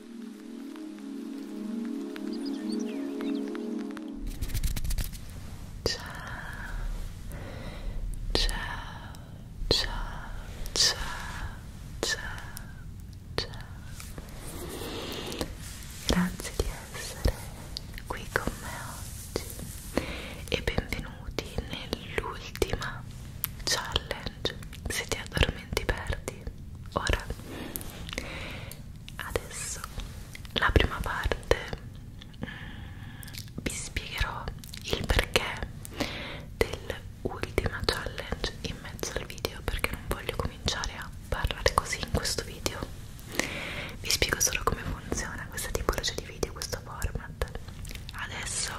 Ciao, ciao, ciao, ciao, ciao, ciao. Grazie di essere qui con me oggi e benvenuti nell'ultima challenge. Se ti addormenti perdi. Ora adesso la prima parte mm, vi spiegherò il perché dell'ultima challenge in mezzo al video perché non voglio cominciare a parlare così in questo video vi spiego solo come funziona questa tipologia di video questo format adesso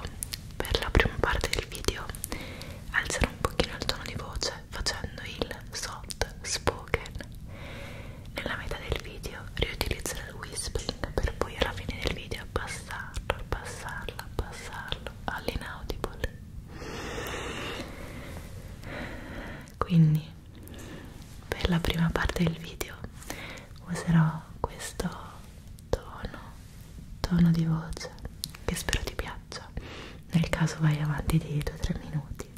per la prima parte del video alzerò un pochino il tono di voce facendo il soft spoken nella metà del video riutilizzo il whispering per poi alla fine del video abbassarlo, abbassarlo, abbassarlo all'inaudible quindi per la prima parte del video userò questo tono tono di voce che spero ti piaccia pausa nel caso vai avanti di 2-3 minuti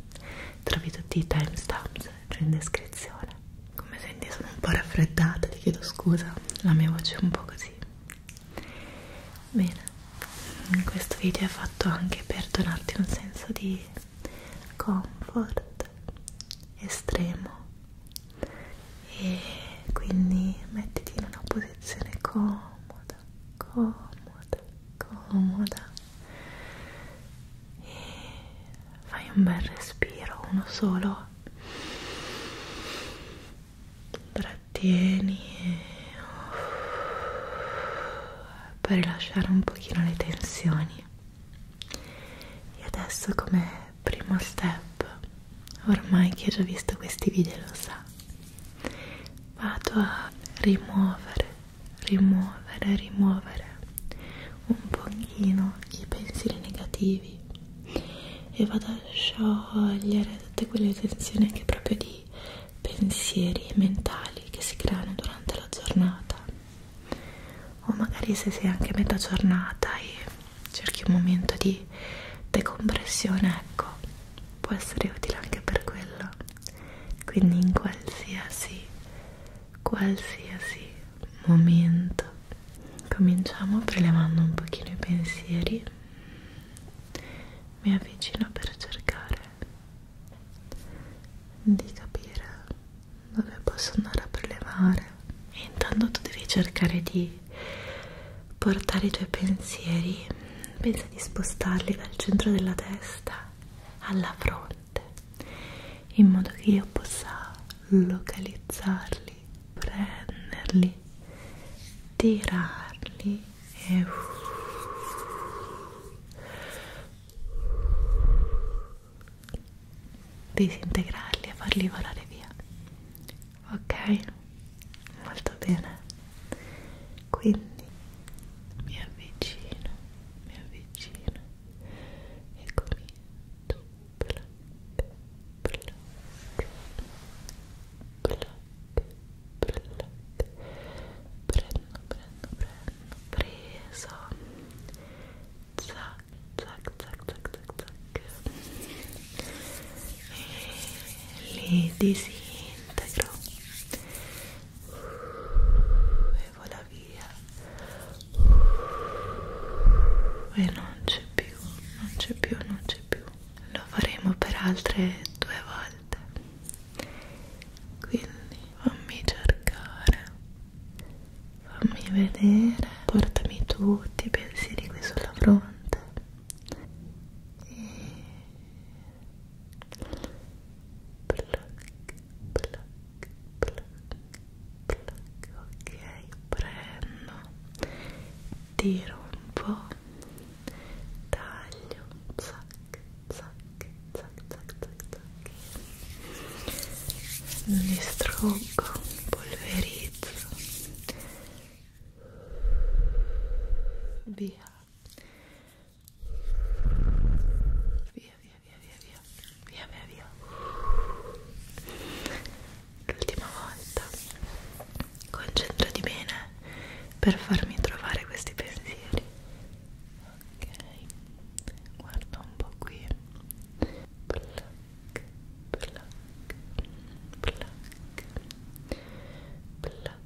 trovi tutti i timestamps giù in descrizione come senti sono un po' raffreddata ti chiedo scusa la mia voce è un po' così bene questo video è fatto anche per donarti un senso di comfort estremo e quindi mettiti in una posizione comoda comoda, comoda, comoda e fai un bel respiro, uno solo trattieni e... per rilasciare un pochino le tensioni e adesso come primo step ormai chi ha già visto questi video lo sa vado a rimuovere rimuovere rimuovere un pochino i pensieri negativi e vado a sciogliere tutte quelle tensioni anche proprio di pensieri mentali che si creano durante la giornata o magari se sei anche a metà giornata e cerchi un momento di decompressione ecco può essere utile anche per quello quindi in qualsiasi qualsiasi momento cominciamo prelevando un pochino i pensieri mi avvicino per cercare di capire dove posso andare a prelevare e intanto tu devi cercare di portare i tuoi pensieri pensa di spostarli dal centro della testa alla fronte in modo che io possa localizzarli, prenderli, tirarli e disintegrarli e farli volare via. Ok? molto bene quindi mi avvicino mi avvicino e comincio black black black black prendo prendo prendo preso zac zac zac zac zac zac e li disintegro uh, e vola via uh, e non c'è più non c'è più non c'è più lo faremo per altre due volte quindi fammi cercare fammi vedere portami tutti i pensieri qui sulla fronte e pluck, pluck, pluck. ok prendo tiro un po taglio zac zac zac zac zac zac li struggo polverizzo via via via via via via via via via l'ultima volta concentrati bene per farmi trovare questi pensieri ok guarda un po' qui black black black black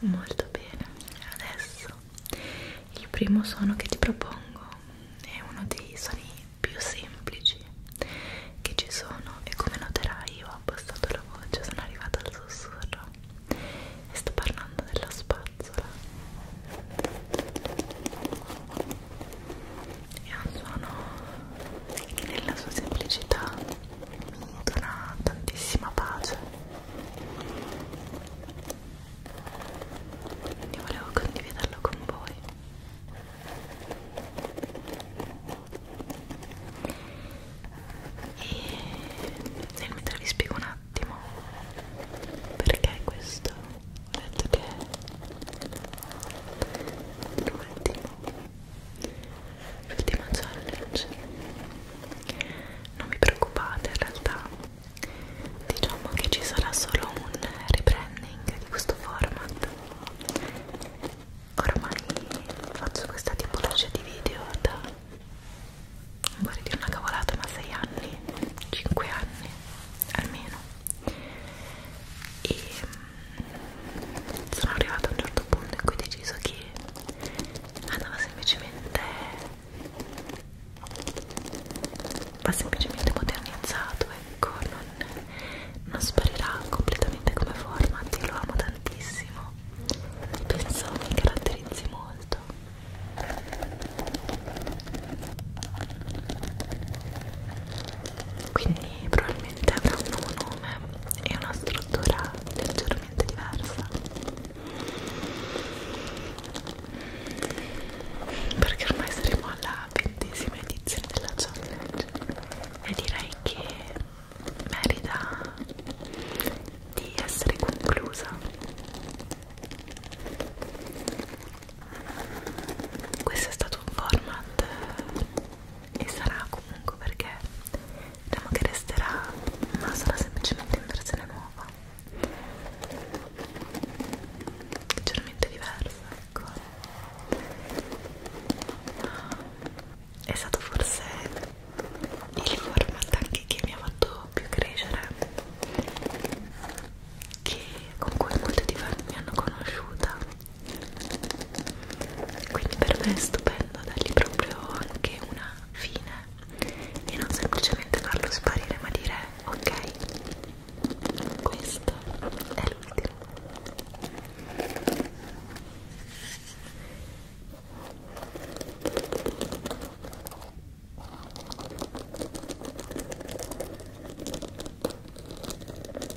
molto bene adesso il primo suono che ti propongo è uno dei suoni più semplici che ci sono e come noterai io ho abbassato la voce sono arrivata al sussurro e sto parlando della spazzola è un suono che nella sua semplicità mi dona tantissima pace quindi volevo condividerlo con voi e nel mentre vi spiego un attimo perché questo ho detto che l'ultimo l'ultima challenge non vi preoccupate in realtà diciamo che ci sarà solo un rebranding di questo format ormai faccio questa tipologia di video da vorrei dire una cavolata ma 6 anni 5 anni almeno e sono arrivata a un certo punto in cui ho deciso che andava semplicemente va semplicemente modernizzato ecco non, non sparirà completamente come format io lo amo tantissimo penso mi caratterizzi molto quindi probabilmente avrà un 1 nome e una struttura leggermente diversa perché ormai saremo alla ventesima edizione della challenge e direi che merita di essere conclusa questo è stato un format e sarà comunque perché diciamo che resterà ma sarà semplicemente in versione nuova leggermente diversa ecco è stato forse il format anche che mi ha fatto più crescere che con cui molti di voi mi hanno conosciuta quindi per me è stupendo dargli proprio anche una fine e non semplicemente farlo sparire ma dire ok questo è l'ultimo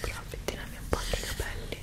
prova a pettinarmi un po' anche i capelli ok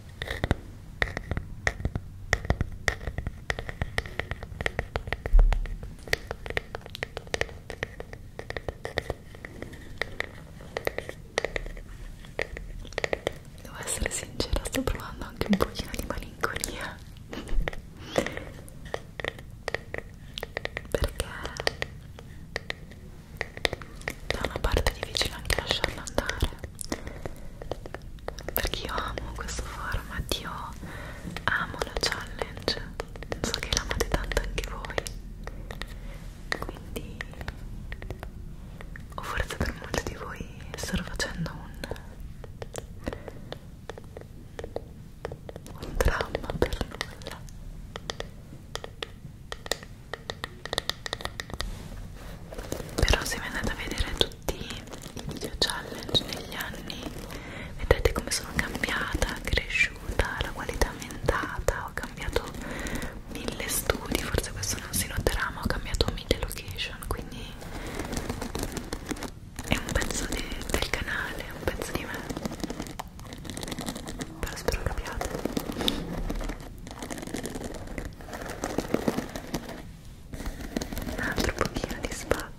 Devo essere sincera, sto provando anche un pochino di malinconia perché da una parte è difficile anche lasciarla andare perché io amo questo format io amo la challenge so che l'amate tanto anche voi quindi o forse per molti di voi sto facendo un un dramma per nulla però se vi andate a vedere tutti i video challenge negli anni vedrete come sono cambiata, cresciuta, la qualità è aumentata, ho cambiato mille studi, forse questo non si noterà ma ho cambiato mille location quindi è un pezzo de del canale, è un pezzo di me però spero capiate un altro pochino di spazzola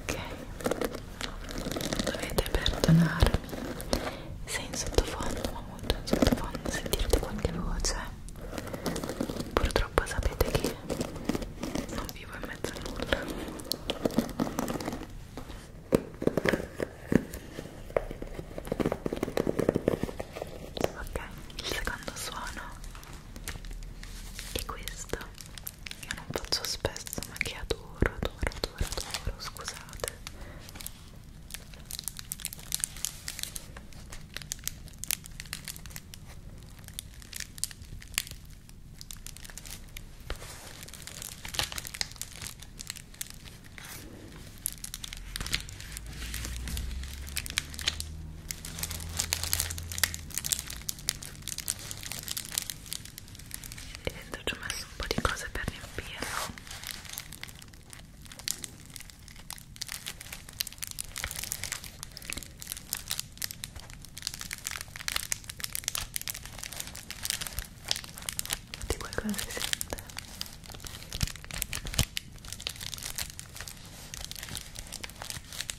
ok dovete perdonarmi se in sottofondo ma molto in sottofondo sentirete qualche voce purtroppo sapete che non vivo in mezzo a nulla ok il secondo suono è questo io non faccio spesso ma che adoro, adoro, adoro, adoro, scusate e dentro ci ho messo un po' di cose per riempirlo di qualcosa si sente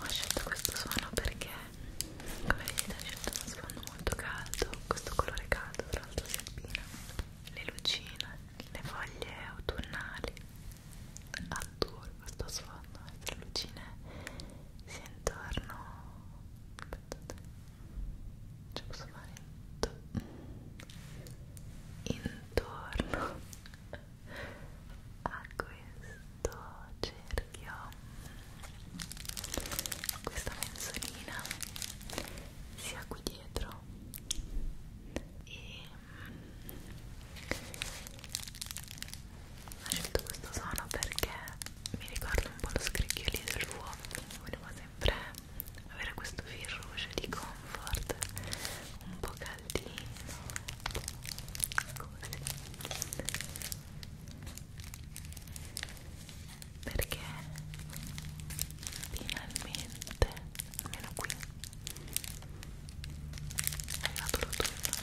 Ho scelto questo suono perché come vedete ho scelto uno sfondo molto caldo questo colore caldo tra l'altro si abbina le lucine, le foglie autunnali al tour questo sfondo, queste eh, lucine si intorno aspettate ce posso fare intorno a questo cerchio questa menzolina sia qui dietro e mm, ho scelto questo suono perché mi ricorda un po' lo scricchiolio del uovo quindi volevo sempre avere questo fil rouge di comfort un po' caldino così perché finalmente almeno qui è arrivato l'autunno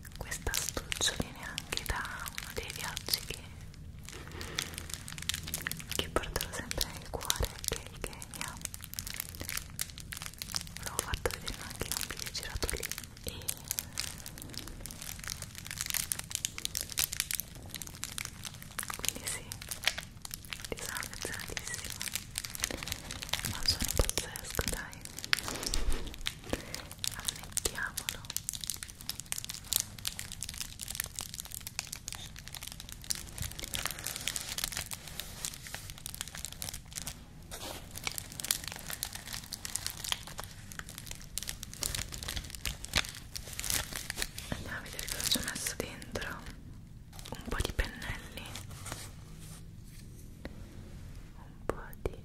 questa astuccia viene anche da uno dei viaggi che, che porterò sempre nel cuore che è il Kenya l'ho fatto vedere anche in un video girato lì e quindi sì ti sono affezionatissima ma sono pazzesco dai ammettiamolo andiamo a vedere cosa ci ho messo dentro un po' di pennelli un po' di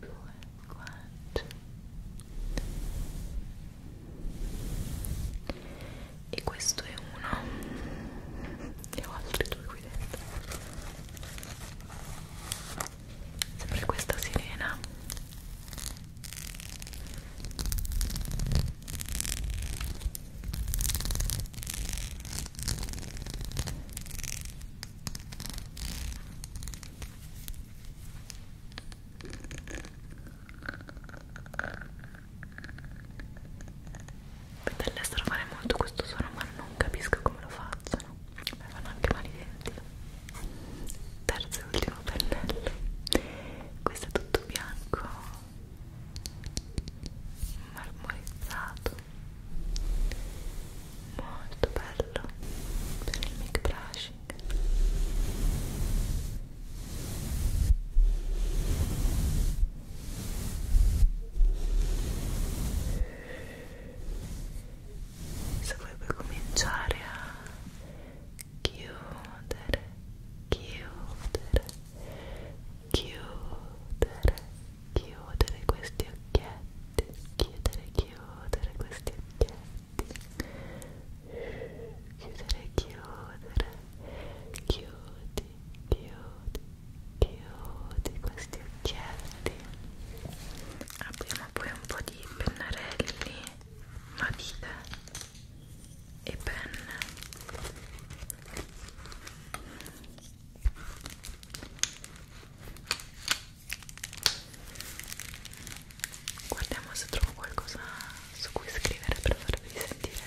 due guance e questo è uno e ho altri due qui dentro sempre questa sirena dall'estero fare molto questo suono ma non capisco come lo facciano mi fanno anche male i denti terzo e ultimo pennello questo è tutto bianco marmorizzato molto bello per il mic brush check se vuoi puoi cominciare a chiudere chiudere chiudere chiudere questi occhietti chiudere chiudere questi occhietti chiudere, chiudere, chiudi, chiudi, chiudi questi occhietti. Abbiamo poi un po' di pennarelli, matite e penne guardiamo se trovo qualcosa su cui scrivere per farvi sentire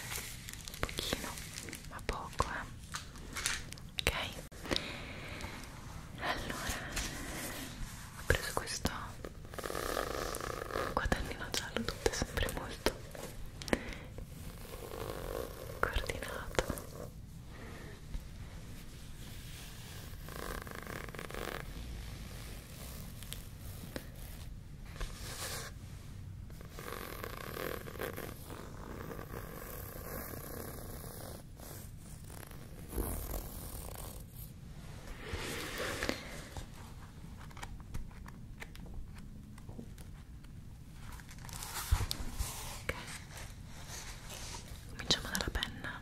un pochino ma poco eh ok allora ho preso questo quadernino giallo tutto è sempre molto coordinato Okay. Cominciamo dalla penna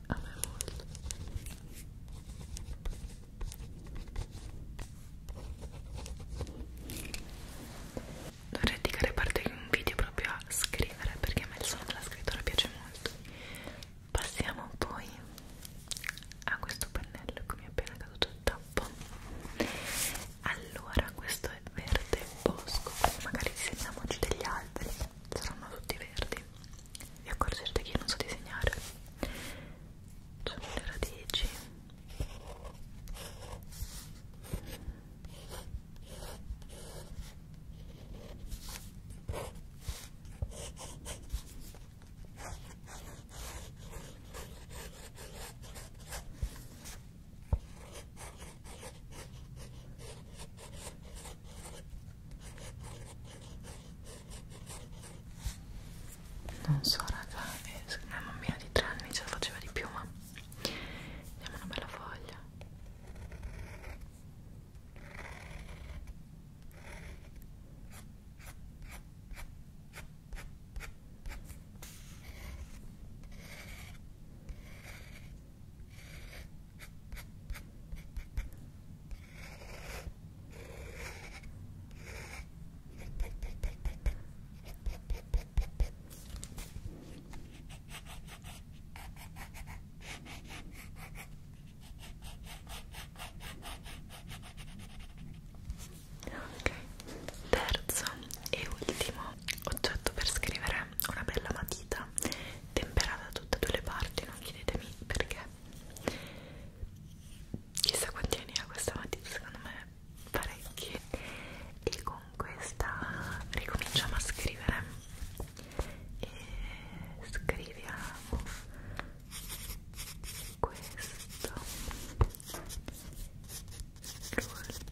a me molto dovrei dedicare parte di un video proprio a scrivere perché a me il suono della scrittura piace molto passiamo poi a questo pennello che mi è appena caduto il tappo allora questo è verde bosco magari disegniamoci degli alberi saranno tutti verdi vi accorgerete che io non so disegnare c'è cioè, le radici non so raga una eh, bambina di tre anni ce la faceva di più ma vediamo una bella foglia Ok, terzo e ultimo oggetto per scrivere una bella matita matita temperata da tutte e due le parti non chiedetemi perché chissà quanti anni ha questa matita secondo me parecchi e con questa ricominciamo a scrivere e scriviamo questo l'ultimo trigger suono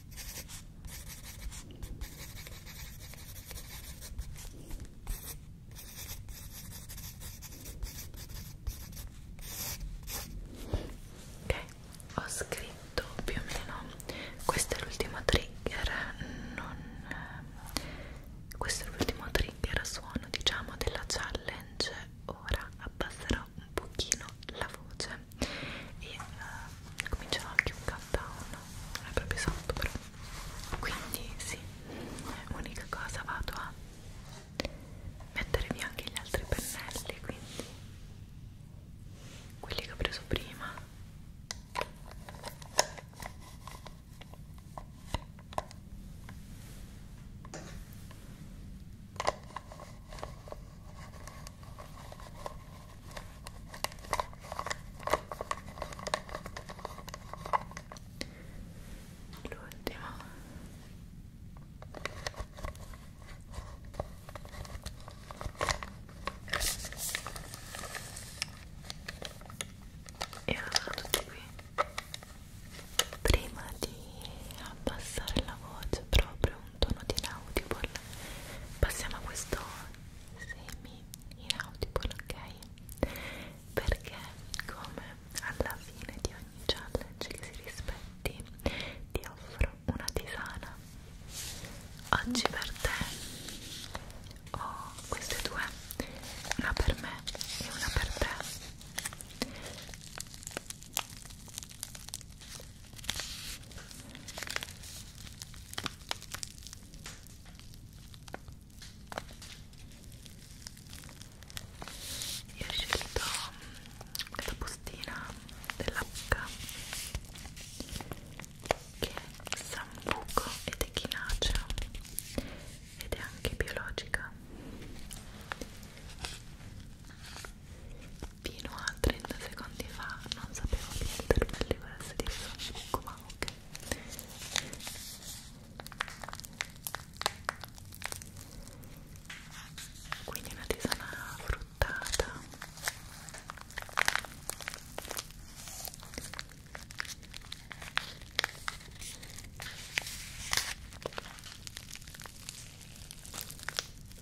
Ok, ho scritto più o meno, questo è l'ultimo trigger, non, questo è l'ultimo trigger suono diciamo della challenge, ora abbasserò un pochino la voce e eh, cominciava anche un countdown non è proprio esatto però quindi sì unica cosa vado a mettere via anche gli altri pennelli quindi quelli che ho preso prima l'ultimo e allora tutto qui prima di abbassare la voce proprio un tono di inaudible passiamo a questo semi inaudible ok perché come alla fine di ogni challenge che si rispetti ti offro una tisana oggi per te ho queste due una per me e una per te io ho scelto questa mm, bustina dell'H che è sambuco ed echinacea ed è anche biologica fino a 30 secondi fa non sapevo che il termelli volesse dire Facebook ma ok quindi una tisana fruttata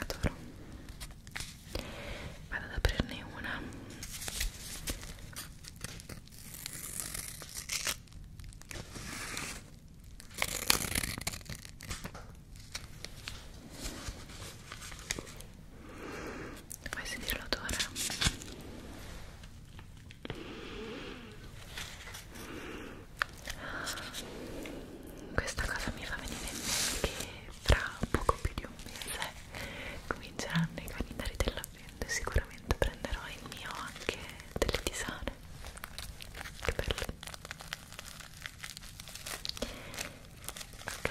adoro vado ad aprirne una Vuoi sentire l'odore? Questa cosa mi fa venire in mente che tra poco più di un mese cominceranno i calendari dell'avvento e sicuramente prenderò il mio anche delle tisane. Che bello! Ok.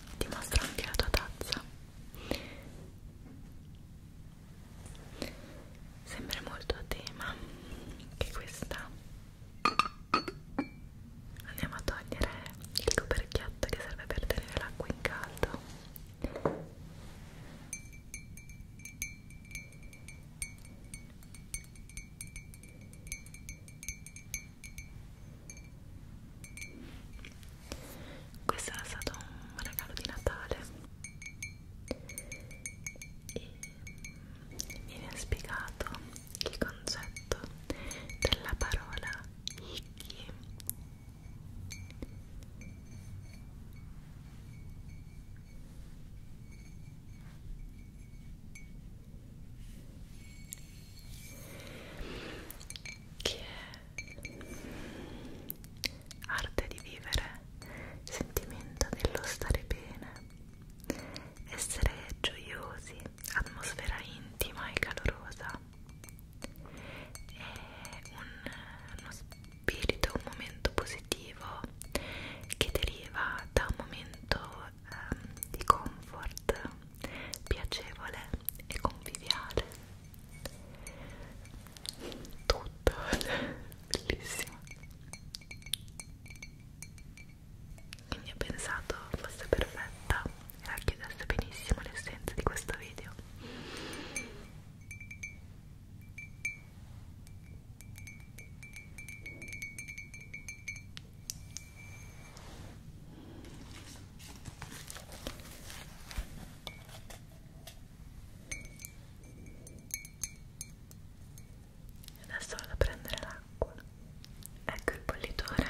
ti mostro anche la tua tazza sembra molto a tema che questa andiamo a togliere il coperchietto che serve per tenere l'acqua in caldo questo era stato un regalo di Natale e mi viene spiegato il concetto della parola Icky che è arte di vivere, sentimento dello stare bene, essere gioiosi, atmosfera intima e calorosa, è un, uno spirito, un momento positivo che deriva da un momento ehm, di comfort piacevole e conviviale tutto bellissimo quindi ho pensato fosse perfetta e racchiudesse benissimo l'essenza di questo video Adesso vado a prendere l'acqua. Ecco il bollitore.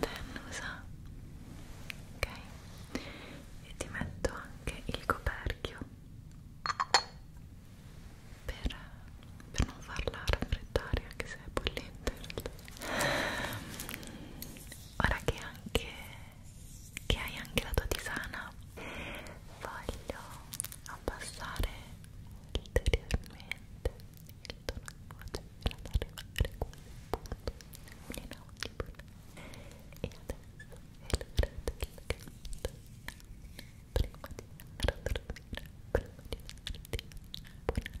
la tennusa ok e ti metto anche il coperchio per, per non farla raffreddare anche se è bollente ora che anche che hai anche la tua tisana voglio abbassare ulteriormente il tono di voce fino ad arrivare quasi appunto inaudibile e adesso è l'ora del canto prima di andare a dormire prima di darti buonanotte